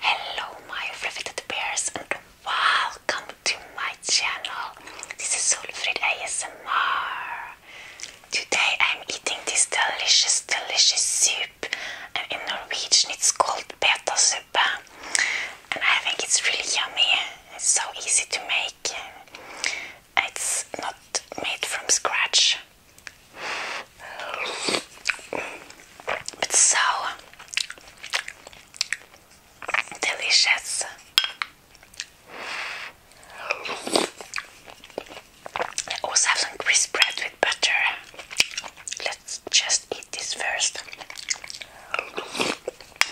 Hello, my fluffy bears, and welcome to my channel. This is Solfrid ASMR. Today I'm eating this delicious, delicious soup. And in Norwegian, it's called beta I think it's really yummy. It's so easy to make. It's not made from scratch. It's so delicious. I also have some crisp bread with butter. Let's just eat this first.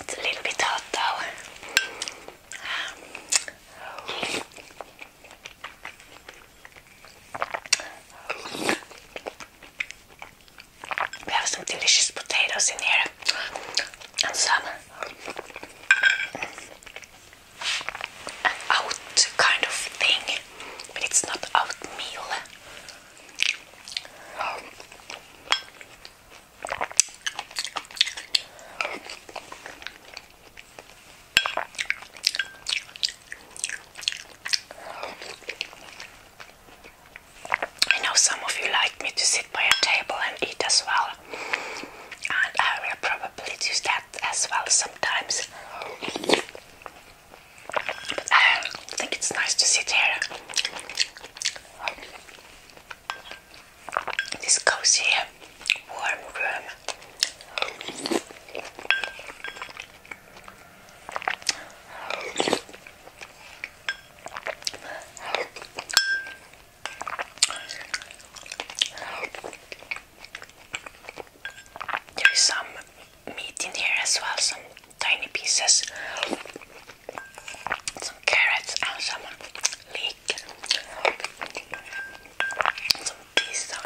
It's a little bit hot though. We have some delicious potatoes in here and some an out kind of thing, but it's not out meal. I know some of you like me to sit by a table and eat as well, and I will probably do that as well sometimes. But I think it's nice to sit here this cozy, warm room. There is some meat in here as well, some tiny pieces, some carrots and some leek, some pizza.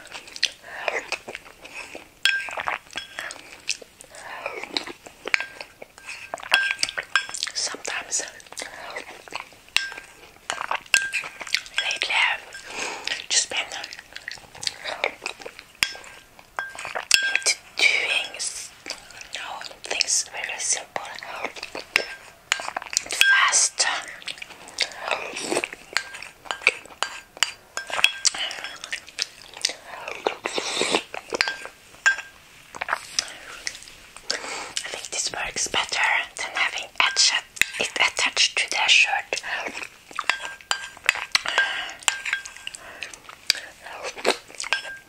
Sometimes lately I've just been uh, doing no, things very simple. Fast. I think this works better than having it attached to the shirt.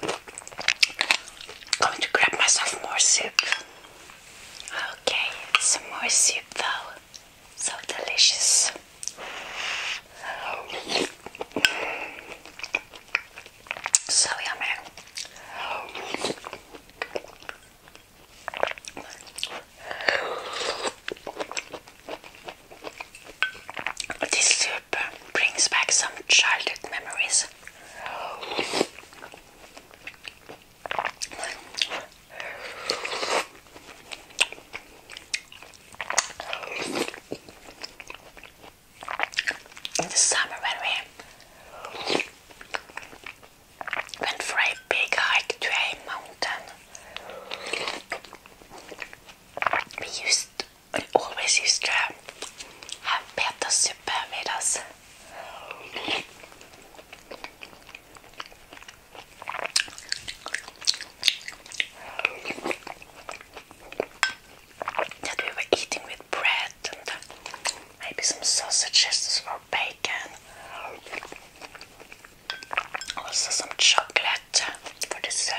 Going to grab myself more soup. Okay, some more soup though. So delicious. So yummy. This brings back some childhood memories. In the summer, when we went for a big hike to a mountain, we used I always used to have better super with us. That we were eating with bread and maybe some sausages or bacon. Also some chocolate for dessert.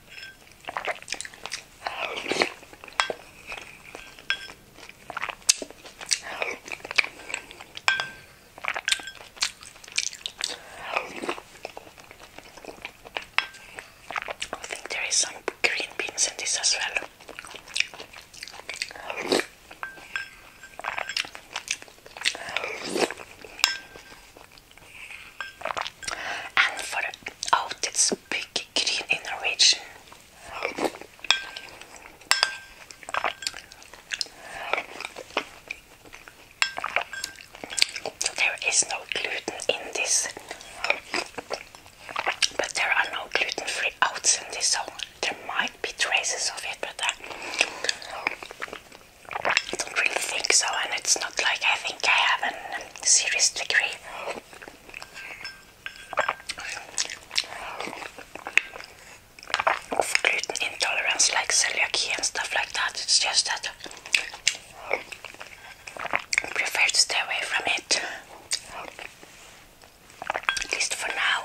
I think there is some green beans in this as well. And for the out, it's big green in the So there is no gluten in this, but there are no gluten-free oats in this, so there might be traces of it, but I don't really think so. And it's not like I think I have an um, serious degree. Of gluten intolerance, like celiac and stuff like that. It's just that I prefer to stay away from it, at least for now.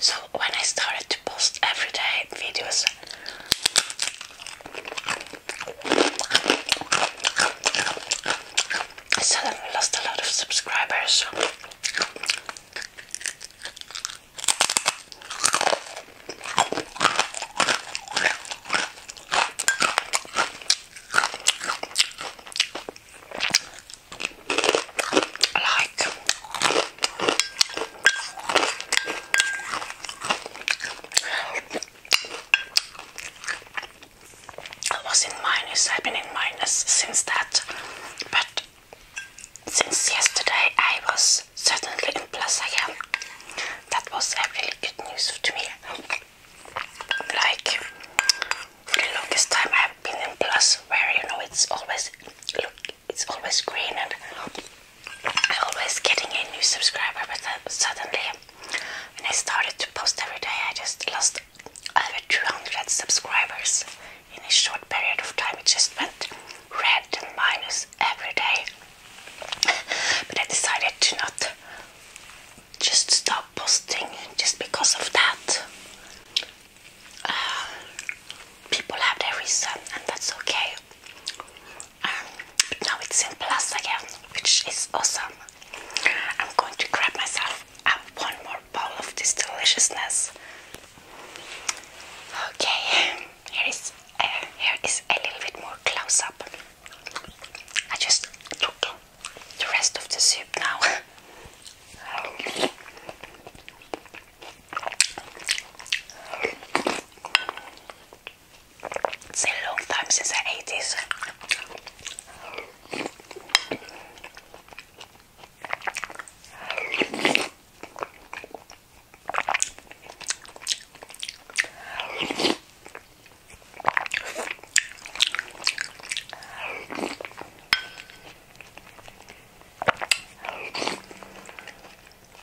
So when I started to post everyday videos I suddenly lost a lot of subscribers. Like I was in minus, I've been in minus since that, but since yesterday I was certainly in plus again. That was a really good news to me. Like longest time I've been in plus, where you know it's always it's always green and I'm always getting a new subscriber but then suddenly when I started to post every day I just lost over 200 subscribers in a short period of time it just went red and minus every day but I decided to not just stop posting just because of that uh, people have their reason and that's okay but um, now it's in plus again, which is awesome. I'm going to grab myself up one more bowl of this deliciousness. Okay, here is uh, here is a little bit more close up. I just took the rest of the soup now. It's a long time since the 80s.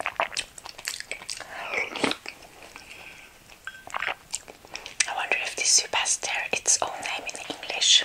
I wonder if this soup has its own name in English.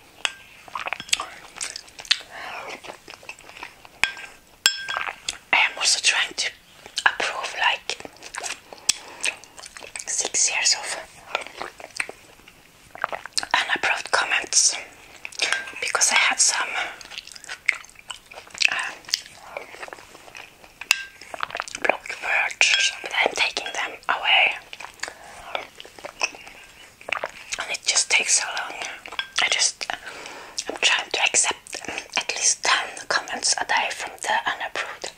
I am also trying to approve like six years of unapproved comments because I had some uh, words, but I'm taking them away and it just takes so long. I just I'm trying to accept at least 10 comments a day from the unapproved.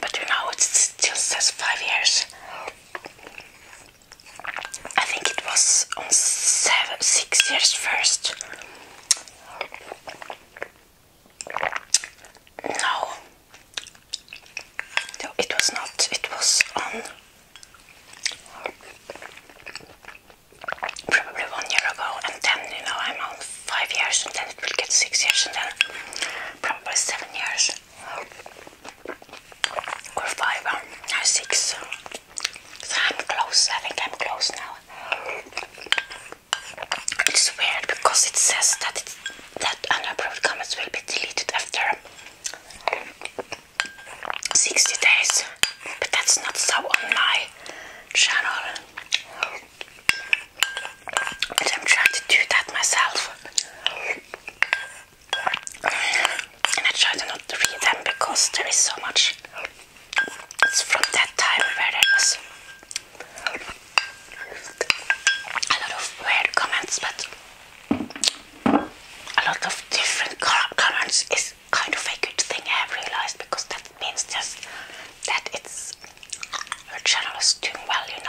But you know, it still says five years. I think it was on six years first. No, no, it was not. It was on um, probably one year ago, and then you know I'm on five years, and then it will get six years, and then probably seven years or five um, or six. So I'm close. I think I'm close now. It's weird because it says that it, that unapproved comments will be deleted after 60 days, but that's not so on my channel. But I'm trying to do that myself. And I try to not read them because there is so much. It's from that time where there was a lot of weird comments, but a lot of different comments is kind of a good thing I have realized because that means just that it's your channel is doing well, you know.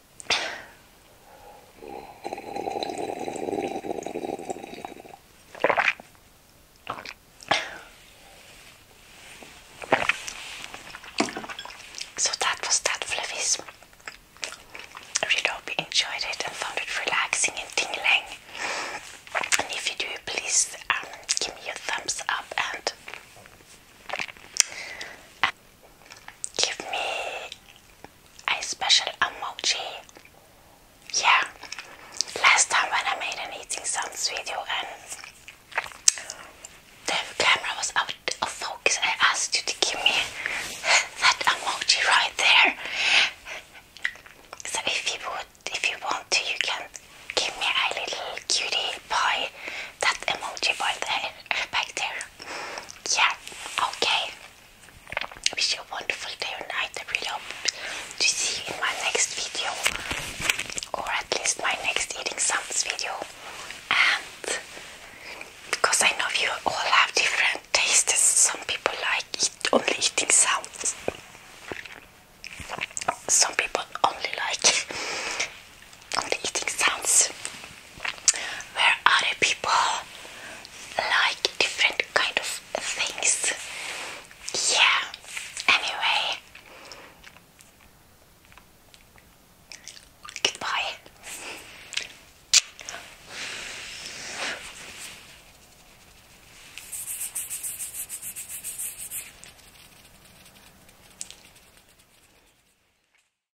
So that was that, Fluffies. I really hope you enjoyed it and found it relaxing and tingling. And if you do, please um, give me a thumbs up and give me a special emoji. Yeah, last time when I made an eating sounds video and the camera was out of focus, I asked you to give me that emoji right there. So if you would, if you want to, you can give me a little cutie pie, that emoji right there, back there yeah, okay. Wish you a wonderful day and night. I really hope to see you in my next video, or at least my next eating sounds video. And because I know you all have different tastes, some people like eat, only eating sounds. Some people only like on the eating sounds where other people like different kind of things. Yeah, anyway. Goodbye.